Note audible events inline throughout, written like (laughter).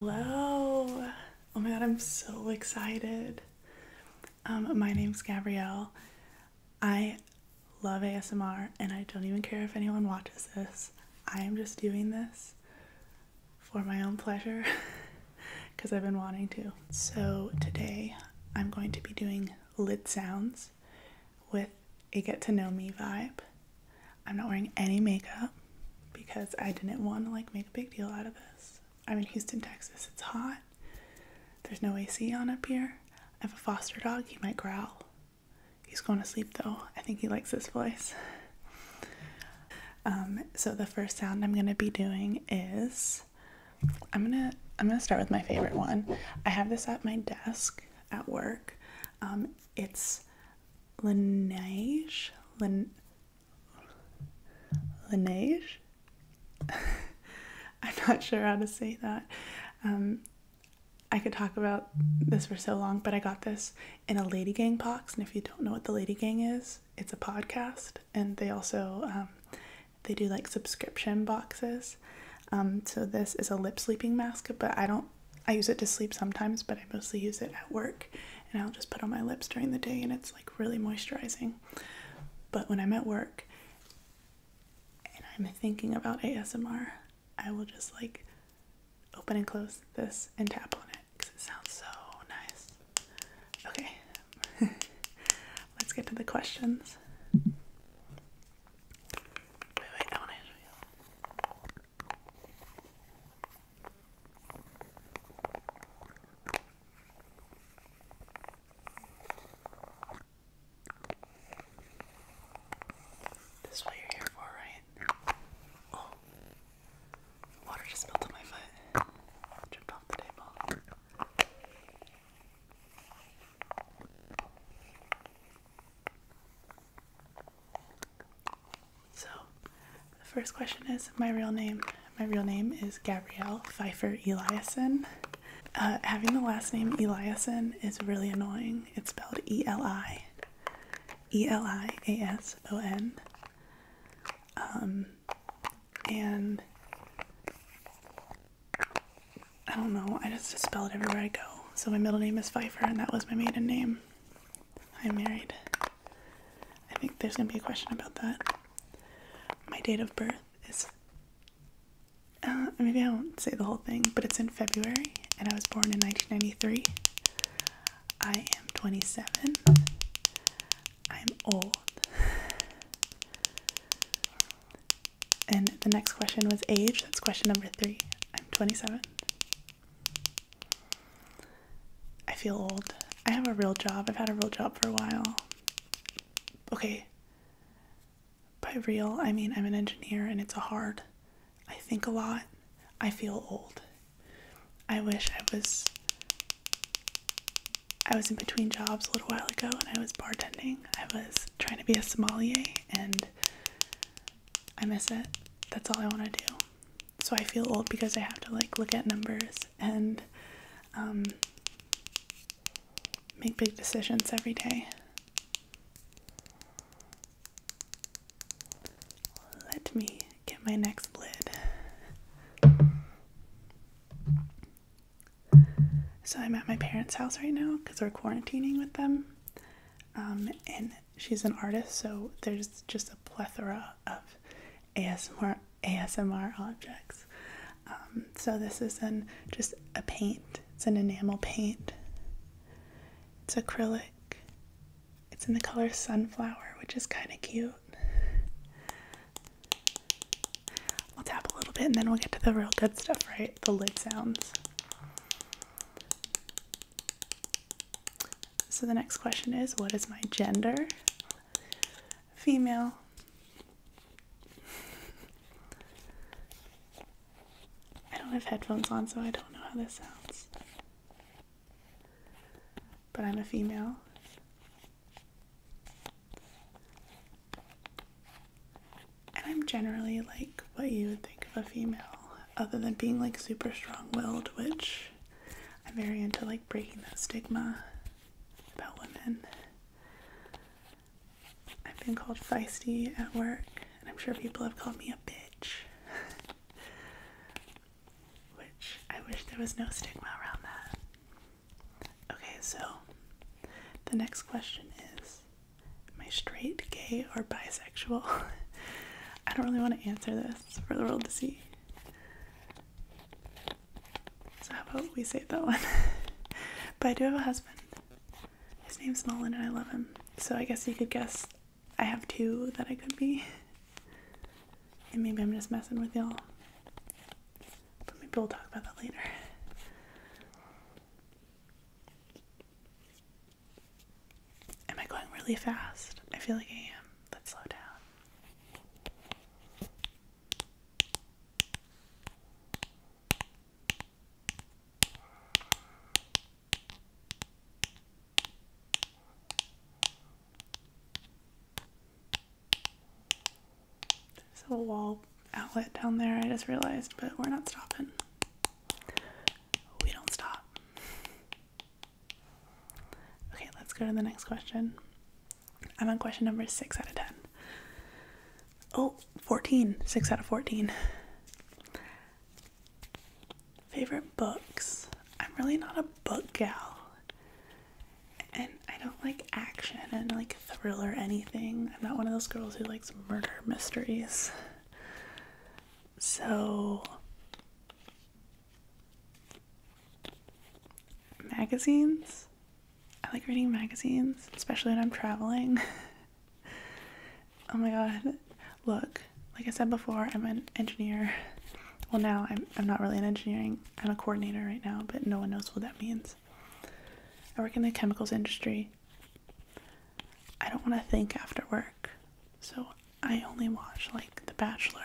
Hello! Oh my god, I'm so excited. Um, my name's Gabrielle. I love ASMR and I don't even care if anyone watches this. I am just doing this for my own pleasure because (laughs) I've been wanting to. So today I'm going to be doing lid sounds with a get to know me vibe. I'm not wearing any makeup because I didn't want to like make a big deal out of this. I'm in Houston, Texas. It's hot. There's no AC on up here. I have a foster dog. He might growl. He's going to sleep though. I think he likes this voice. Um, so the first sound I'm gonna be doing is I'm gonna I'm gonna start with my favorite one. I have this at my desk at work. Um, it's Laneige. Lin Laneige. (laughs) I'm not sure how to say that. Um, I could talk about this for so long, but I got this in a Lady Gang box. And if you don't know what the Lady Gang is, it's a podcast, and they also um, they do like subscription boxes. Um, so this is a lip sleeping mask, but I don't I use it to sleep sometimes, but I mostly use it at work. And I'll just put on my lips during the day, and it's like really moisturizing. But when I'm at work and I'm thinking about ASMR, I will just like open and close this and tap on it because it sounds so nice. Okay, (laughs) let's get to the questions. This is what you're here for, right? Oh, water just spilled on my foot. Tripped off the table. So, the first question is my real name. My real name is Gabrielle Pfeiffer Eliason. Uh, having the last name Eliason is really annoying. It's spelled E L I E L I A S O N. Um, and I don't know, I just spell it everywhere I go. So, my middle name is Pfeiffer, and that was my maiden name. I'm married. I think there's gonna be a question about that. My date of birth is. Uh, maybe I won't say the whole thing, but it's in February, and I was born in 1993. I am 27. I'm old. And the next question was age. That's question number three. I'm 27. I feel old. I have a real job. I've had a real job for a while. Okay. By real, I mean I'm an engineer and it's a hard. I think a lot. I feel old. I wish I was I was in between jobs a little while ago and I was bartending. I was trying to be a sommelier and I miss it. That's all I want to do so I feel old because I have to like look at numbers and um, make big decisions every day. Let me get my next lid. So I'm at my parents' house right now because we're quarantining with them. Um, and she's an artist, so there's just a plethora of ASMR ASMR objects. Um, so this is an just a paint. It's an enamel paint. It's acrylic. It's in the color sunflower, which is kind of cute. we will tap a little bit and then we'll get to the real good stuff, right? The lid sounds. So the next question is what is my gender? Female. I don't have headphones on, so I don't know how this sounds. But I'm a female. And I'm generally like what you would think of a female other than being like super strong willed, which I'm very into like breaking that stigma about women. I've been called feisty at work, and I'm sure people have called me a bitch. (laughs) which I wish there was no stigma around that. Okay, so the next question is Am I straight, gay, or bisexual? (laughs) I don't really want to answer this for the world to see. So, how about we save that one? (laughs) but I do have a husband. His name's Nolan, and I love him. So, I guess you could guess I have two that I could be. And maybe I'm just messing with y'all. But maybe we'll talk about that later. Am I going really fast? I feel like I am. Let's slow down. There's a wall outlet down there, I just realized, but we're not stopping. We don't stop. Okay, let's go to the next question. I'm on question number 6 out of 10. Oh, 14. 6 out of 14. Favorite books. I'm really not a book gal. And I don't like action and like thriller anything. I'm not one of those girls who likes murder mysteries. So, magazines. I like reading magazines, especially when I'm traveling. (laughs) oh my god. Look, like I said before, I'm an engineer. Well, now I'm, I'm not really an engineering, I'm a coordinator right now, but no one knows what that means. I work in the chemicals industry. I don't want to think after work, so I only watch like The Bachelor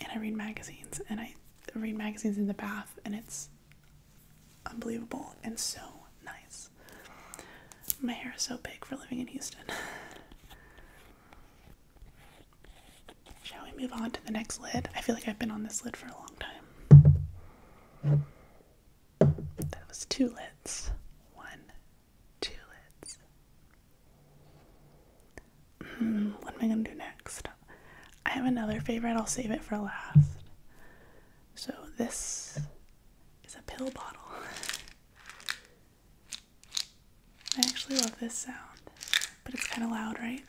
and I read magazines and I read magazines in the bath and it's unbelievable and so nice. My hair is so big for living in Houston. (laughs) Shall we move on to the next lid? I feel like I've been on this lid for a long time. That was two lids. One, tulips. Hmm, what am I going to do next? I have another favorite. I'll save it for last. So, this is a pill bottle. I actually love this sound, but it's kind of loud, right?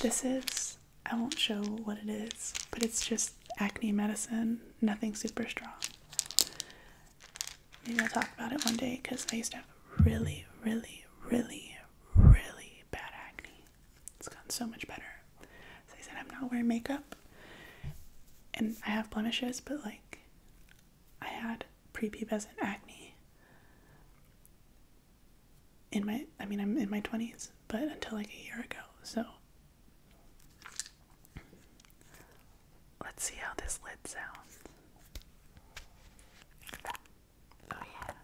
This is, I won't show what it is, but it's just acne medicine, nothing super strong. Maybe I'll talk about it one day because I used to have really, really, really, really bad acne. It's gotten so much better. So I said, I'm not wearing makeup and I have blemishes, but like I had prepubescent acne in my, I mean, I'm in my 20s, but until like a year ago. So Let's see how this lid sounds. Oh, yeah.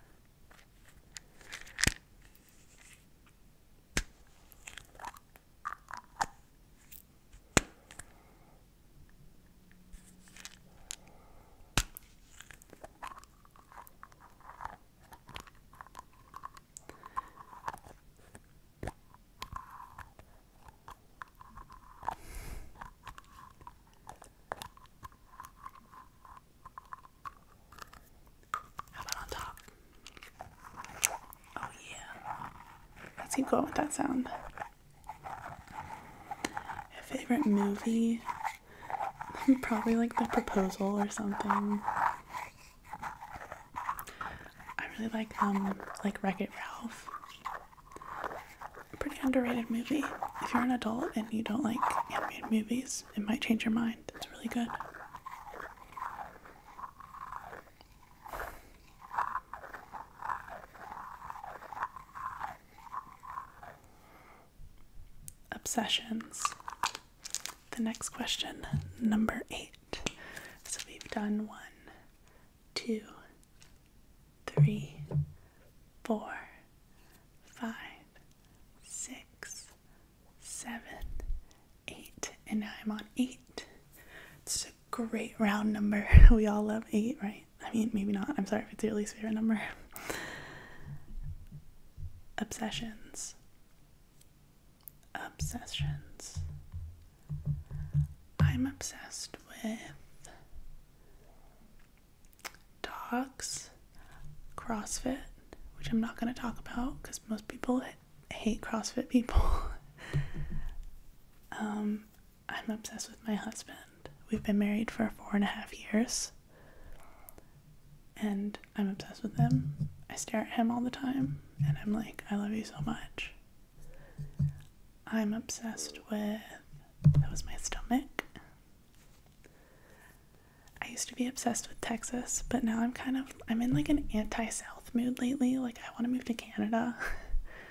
How about on top? Oh, yeah. Let's keep going with that sound. My favorite movie? (laughs) Probably like The Proposal or something. I really like um like Wreck It Ralph. pretty underrated movie. If you're an adult and you don't like animated movies, it might change your mind. It's really good. Obsessions the next question, number eight. So we've done one, two, three, four, five, six, seven, eight, and now I'm on eight. It's a great round number. (laughs) We all love eight, right? I mean, maybe not. I'm sorry if it's your least favorite number. (laughs) Obsessions obsessions. I'm obsessed with dogs, CrossFit, which I'm not going to talk about because most people hate CrossFit people. (laughs) um, I'm obsessed with my husband. We've been married for four and a half years and I'm obsessed with him. I stare at him all the time and I'm like, I love you so much. I'm obsessed with that was my stomach. I used to be obsessed with Texas, but now I'm kind of I'm in like an anti-south mood lately. Like I want to move to Canada.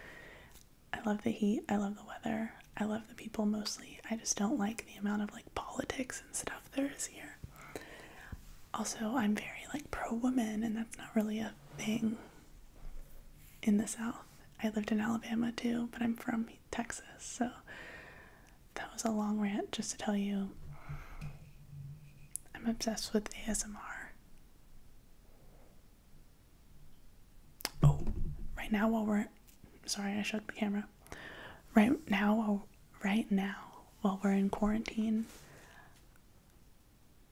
(laughs) I love the heat, I love the weather. I love the people mostly. I just don't like the amount of like politics and stuff there is here. Also, I'm very like pro woman, and that's not really a thing in the South. I lived in Alabama too, but I'm from Texas, so that was a long rant just to tell you I'm obsessed with ASMR. Oh, right now while we're sorry, I shook the camera. Right now, oh, right now while we're in quarantine,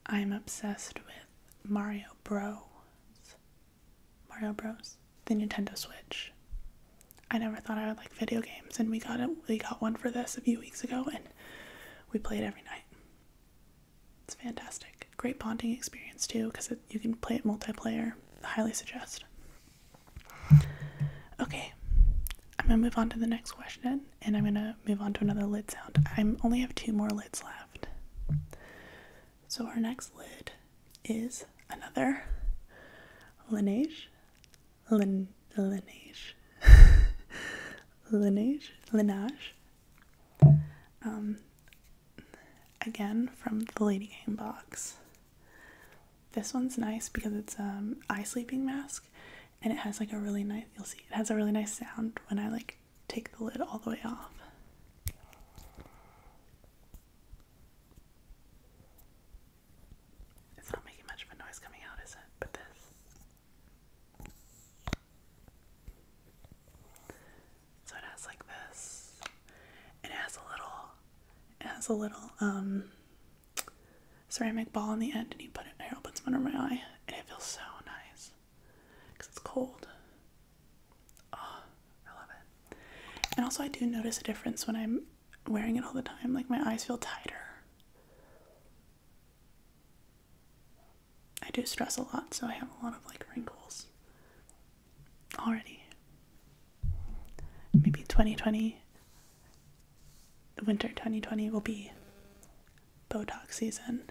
I'm obsessed with Mario Bros. Mario Bros. The Nintendo Switch. I never thought I would like video games, and we got We got one for this a few weeks ago, and we play it every night. It's fantastic. Great bonding experience too, because you can play it multiplayer. highly suggest. Okay, I'm gonna move on to the next question and I'm gonna move on to another lid sound. I only have two more lids left. So, our next lid is another linage, Lin, linage, linage (laughs) Laneige. Um, again, from the Lady Game box. This one's nice because it's um eye sleeping mask and it has like a really nice you'll see it has a really nice sound when I like take the lid all the way off. It's not making much of a noise coming out, is it? But this. So it has like this. And has a little has a little um ceramic ball in the end, and you put it. I open some under my eye, and it feels so nice because it's cold. Oh, I love it. And also, I do notice a difference when I'm wearing it all the time. Like my eyes feel tighter. I do stress a lot, so I have a lot of like wrinkles already. Maybe 2020 winter 2020 will be Botox season,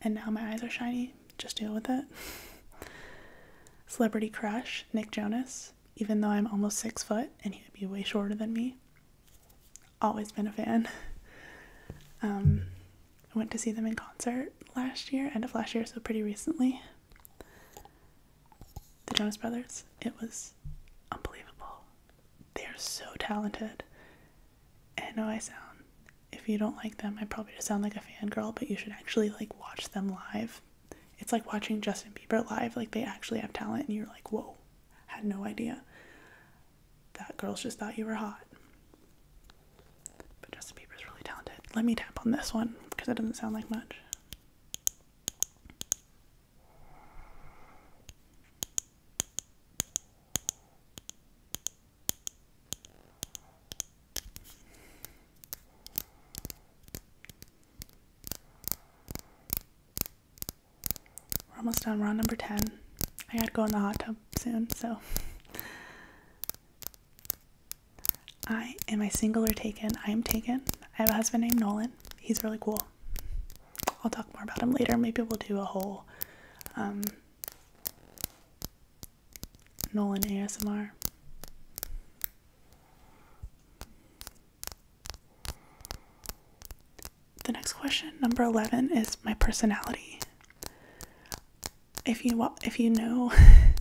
and now my eyes are shiny. Just deal with it. (laughs) Celebrity crush, Nick Jonas, even though I'm almost six foot and he would be way shorter than me. Always been a fan. (laughs) Um, I went to see them in concert last year, end of last year, so pretty recently the Jonas Brothers. It was unbelievable. They're so talented. And I know I sound, if you don't like them, I probably just sound like a fangirl, but you should actually like watch them live. It's like watching Justin Bieber live. Like they actually have talent and you're like, whoa, had no idea. That girls just thought you were hot. But Justin Bieber's really talented. Let me tap on this one because it doesn't sound like much. We're almost done. round number 10. I gotta go in the hot tub soon, so. I am I single or taken? I am taken. I have a husband named Nolan. He's really cool. I'll talk more about him later. Maybe we'll do a whole um, Nolan ASMR. The next question, number 11, is my personality. If you if you know,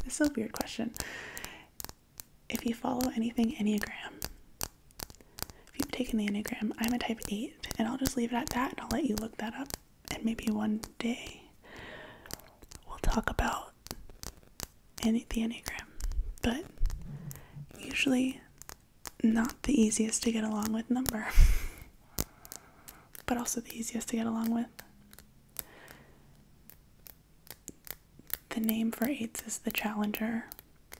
it's (laughs) a weird question if you follow anything Enneagram, if you've taken the Enneagram, I'm a type 8, and I'll just leave it at that and I'll let you look that up. And maybe one day we'll talk about the Enneagram. But usually not the easiest to get along with number, (laughs) but also the easiest to get along with the name for eights is the challenger,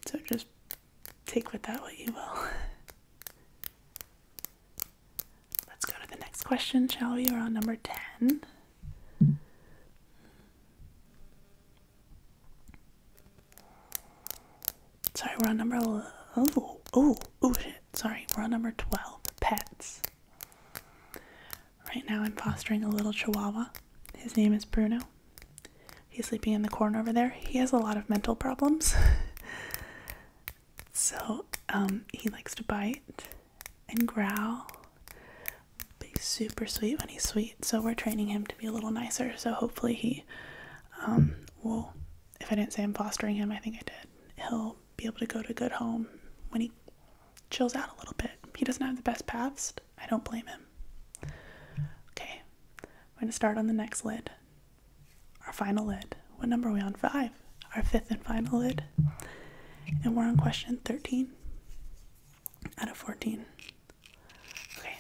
so just take with that what you will. (laughs) Let's go to the next question, shall we? We're on number 10. Sorry, we're on number. Oh, oh, oh shit. Sorry, we're on number 12 pets. Right now, I'm fostering a little chihuahua. His name is Bruno. He's sleeping in the corner over there. He has a lot of mental problems. (laughs) so um, he likes to bite and growl. But he's super sweet when he's sweet. So we're training him to be a little nicer. So hopefully he um, will, if I didn't say I'm fostering him, I think I did. He'll be able to go to a good home when he chills out a little bit. He doesn't have the best past, I don't blame him. Okay, I'm going to start on the next lid. Our final lid. What number are we on? Five. Our fifth and final lid. And we're on question 13 out of 14. Okay.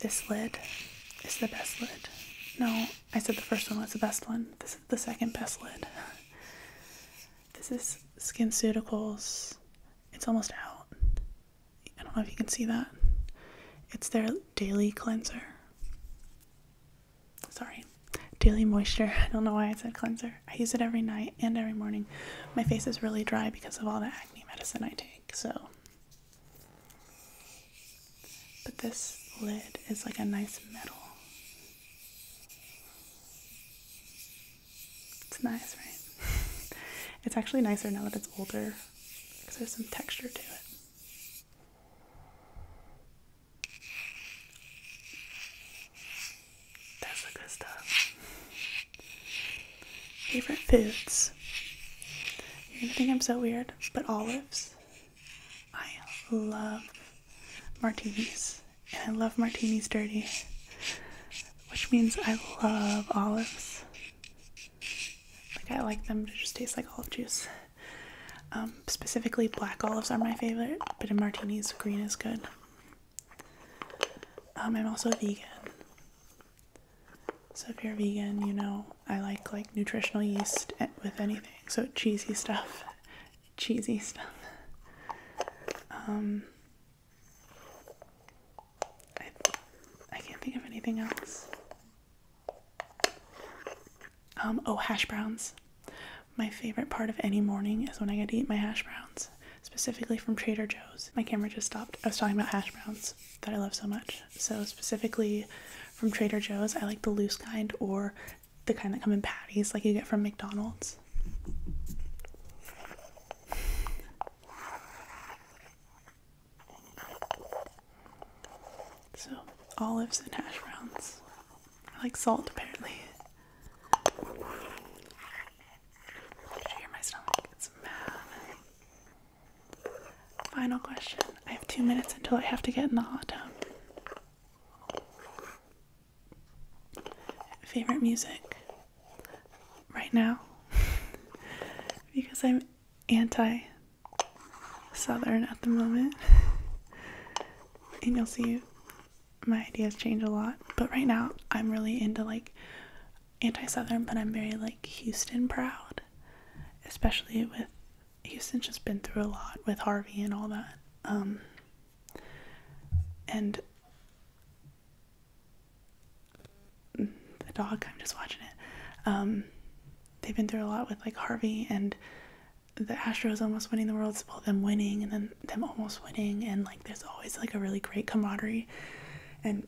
This lid is the best lid. No, I said the first one was the best one. This is the second best lid. (laughs) This is SkinCeuticals. It's almost out. I don't know if you can see that. It's their daily cleanser. Sorry, daily moisture. (laughs) I don't know why I said cleanser. I use it every night and every morning. My face is really dry because of all the acne medicine I take, so. But this lid is like a nice metal. It's nice, right? (laughs) it's actually nicer now that it's older because there's some texture to it. That's good stuff. Favorite foods. You're gonna think I'm so weird, but olives. I love martinis and I love martinis dirty, which means I love olives. Like, I like them to just taste like olive juice. Um, specifically, black olives are my favorite, but in martinis, green is good. Um, I'm also vegan. So if you're vegan, you know I like like nutritional yeast eh, with anything. So cheesy stuff cheesy stuff. Um, I, I can't think of anything else. Um, oh, hash browns. My favorite part of any morning is when I get to eat my hash browns, specifically from Trader Joe's. My camera just stopped. I was talking about hash browns that I love so much. So, specifically from Trader Joe's, I like the loose kind or the kind that come in patties like you get from McDonald's. So, olives and hash browns. I like salt apparently. Did you hear my stomach? It's mad. Final question. I have two minutes until I have to get in the hot tub favorite music right now (laughs) because I'm anti Southern at the moment. (laughs) and you'll see my ideas change a lot. But right now, I'm really into like anti Southern, but I'm very like Houston proud, especially with Houston's just been through a lot with Harvey and all that. Um, and the dog, I'm just watching it. Um, they've been through a lot with like Harvey and the Astros almost winning the World Series, well, them winning and then them almost winning, and like there's always like a really great camaraderie. And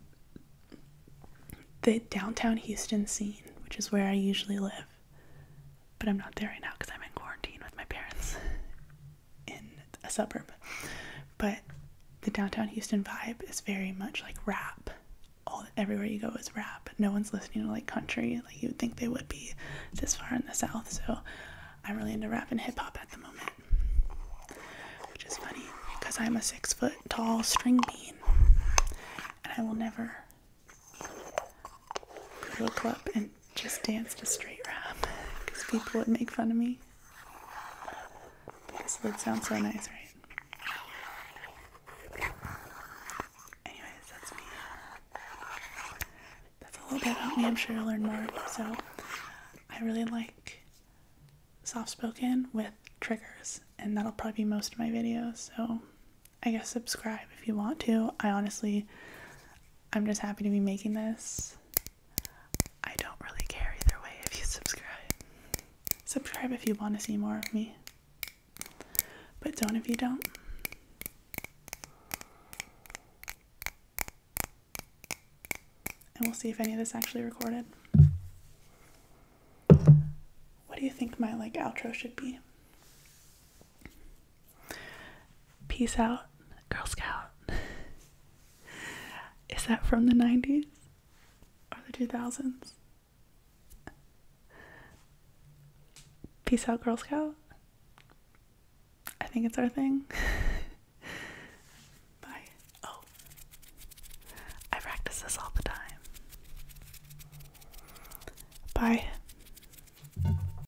the downtown Houston scene, which is where I usually live, but I'm not there right now because I'm in quarantine with my parents in a suburb. But the downtown Houston vibe is very much like rap. All everywhere you go is rap. No one's listening to like country like you would think they would be this far in the south. So I'm really into rap and hip hop at the moment, which is funny because I'm a six foot tall string bean, and I will never go to a club and just danced a straight rap because people would make fun of me. This would sound so nice, right? Anyways, that's me. That's a little bit about me. I'm sure you'll learn more. So, I really like soft spoken with triggers, and that'll probably be most of my videos. So, I guess subscribe if you want to. I honestly. I'm just happy to be making this. I don't really care either way if you subscribe. Subscribe if you want to see more of me, but don't if you don't. And we'll see if any of this actually recorded. What do you think my like outro should be? Peace out, Girl Scout. (laughs) Is that from the 90s or the 2000s? Peace out, Girl Scout. I think it's our thing. (laughs) Bye. Oh, I practice this all the time. Bye.